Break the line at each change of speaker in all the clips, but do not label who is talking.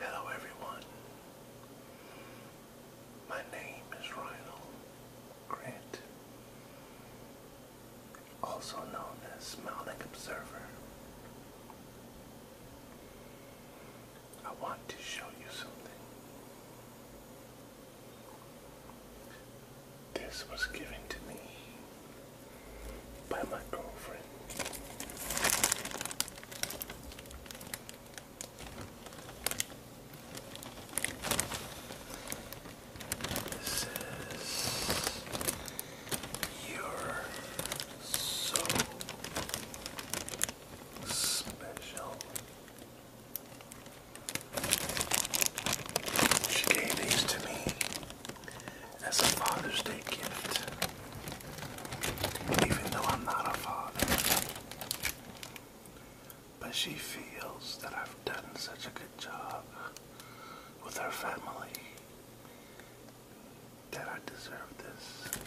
Hello everyone. My name is Ronald Grant, also known as Smiling Observer. I want to show you something. This was given to me by my girlfriend. This is you so special. She gave these to me as a Father's Day gift, even though I'm not a father. But she feels that I've done such a good job with her family that I deserve this.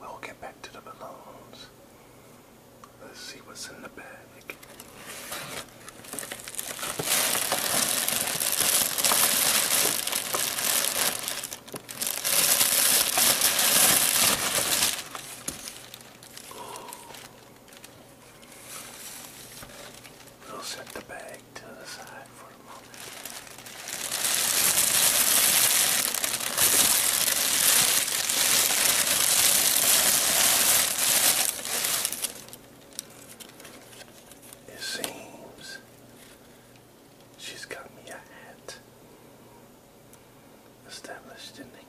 We'll get back to the balloons. Let's see what's in the bag. We'll set the bag to the side for a moment. It seems she's got me a hat established in England.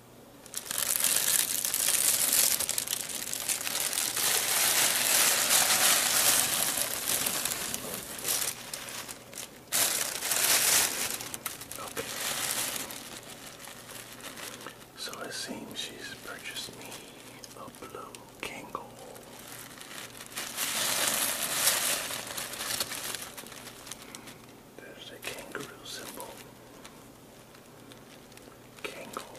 Okay. So it seems she's purchased me a blue Kangle. There's a kangaroo symbol. Kangle.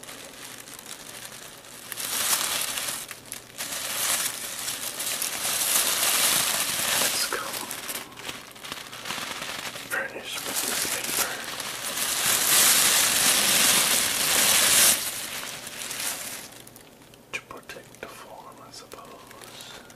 And it's come furnished with this paper. To protect the form, I suppose.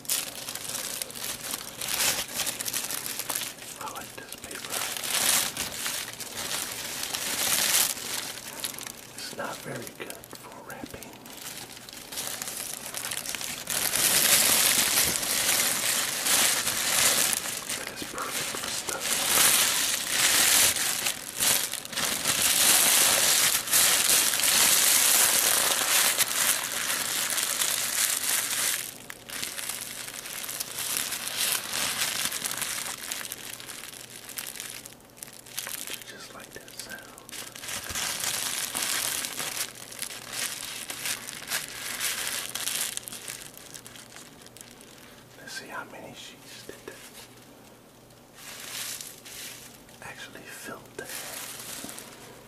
I like this paper. It's not very good for wrapping. But it's perfect for stuff. You just like that sound. Let's see how many sheets did that actually filled that.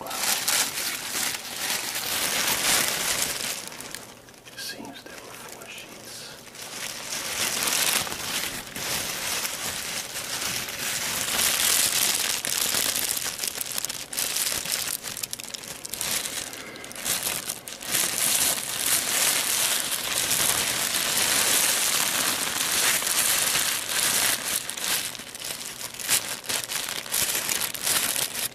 Wow. It seems there were four sheets.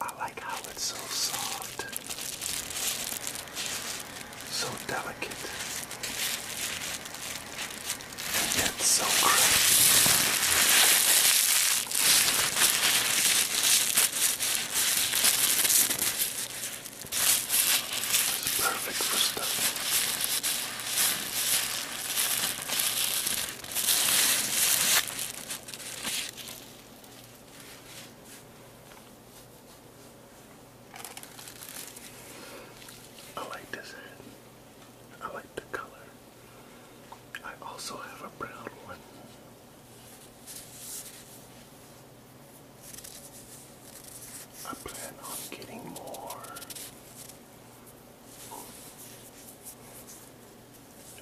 I like how it's so soft, so delicate, and so crisp. perfect for stuffing. I like this I like the color. I also have a brown one. I plan on getting more.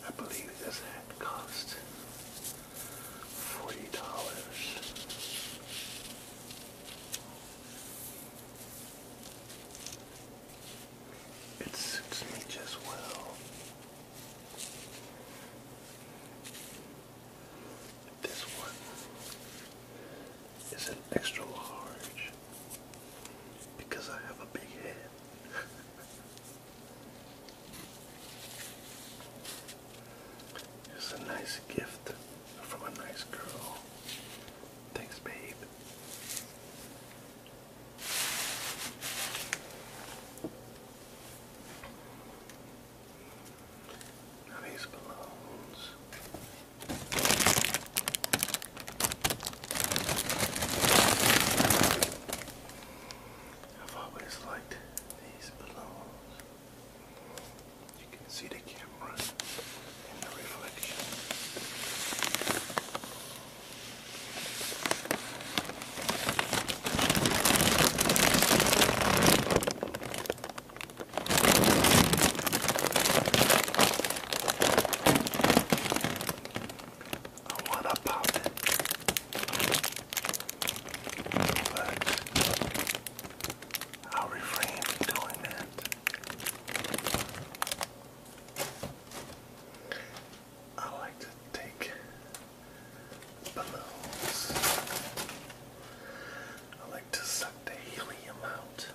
I believe this hat cost forty dollars. It suits me just well. This one is an extra large because I have a big head. It's a nice gift from a nice girl. Thanks, babe. these balloons. I've always liked these balloons. You can see the camera in the reflection. I wanna pop it. But I'll refrain from doing that. I like to take balloons. I like to suck the helium out.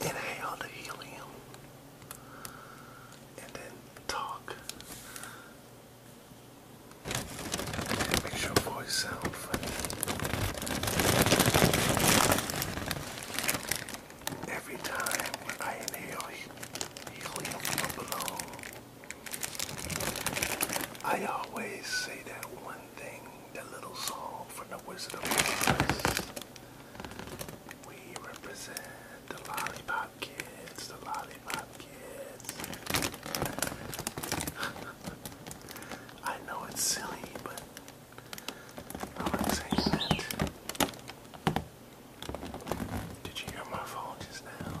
Inhale the helium. And then talk. And your voice sound funny. Every time I inhale helium from a I always say that one the little song from the Wizard of Oz. We represent the Lollipop Kids, the Lollipop Kids. I know it's silly, but I like saying that. Did you hear my phone just now?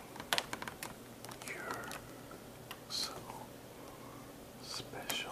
You're so special.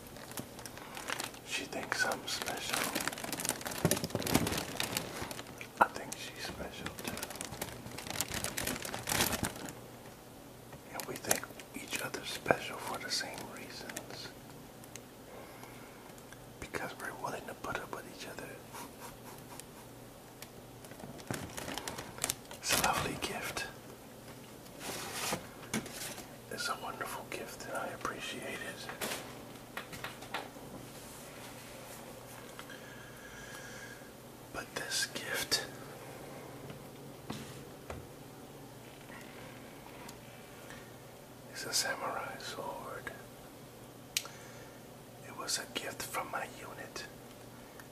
She thinks I'm special. I think she's special too. And we think each other special for the same reasons. Because we're willing to put up with each other. It's a lovely gift. It's a wonderful gift and I appreciate it. But this gift is a samurai sword. It was a gift from my unit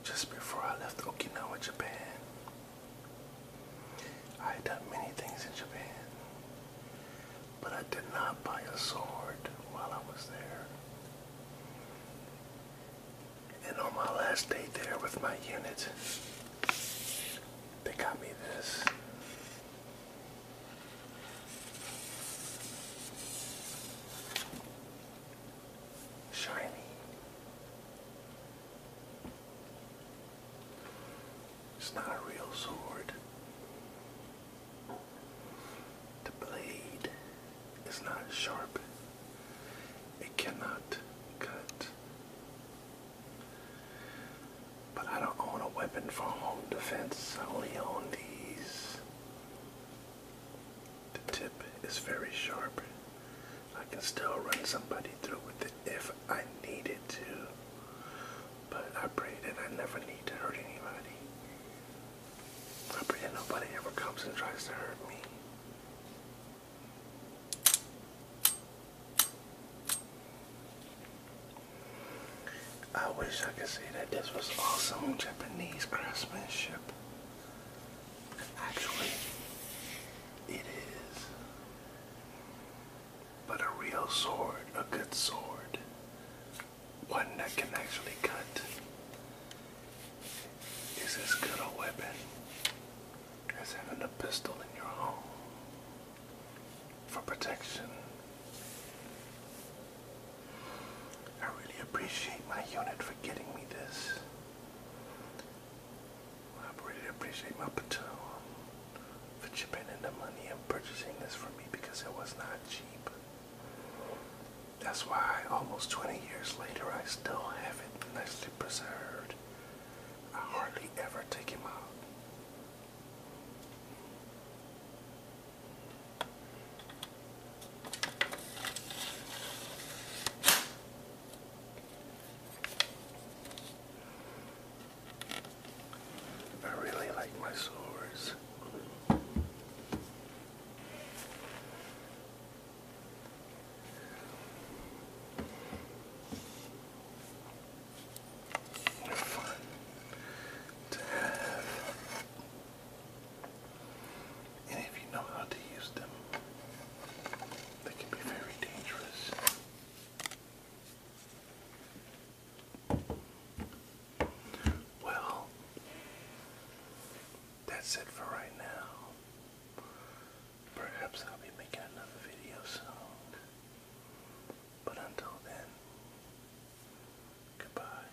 just before I left Okinawa, Japan. I had done many things in Japan, but I did not buy a sword while I was there. And on my last day there with my unit, they got me this. Shiny it's not a real sword. The blade is not sharp. It cannot cut. But I don't own a weapon for home defense. I only own these. The tip is very sharp. I can still run somebody through with it if I needed to. But I pray that I never need to hurt anybody. I pray that nobody ever comes and tries to hurt me. I wish I could say that this was awesome Japanese craftsmanship. Actually, it is. But a real sword, a good sword, one that can actually cut, is as good a weapon as having a pistol in your home for protection. I really appreciate my unit for getting me this. I really appreciate my Patron um, for chipping in the money and purchasing this for me because it was not cheap. That's why almost 20 years later I still have it nicely preserved. I hardly ever take him out. I really like my swords. fun to have and if you know how to use them, they can be very dangerous. Well, that's it for right now. Perhaps I'll be making another video soon. But until then, goodbye.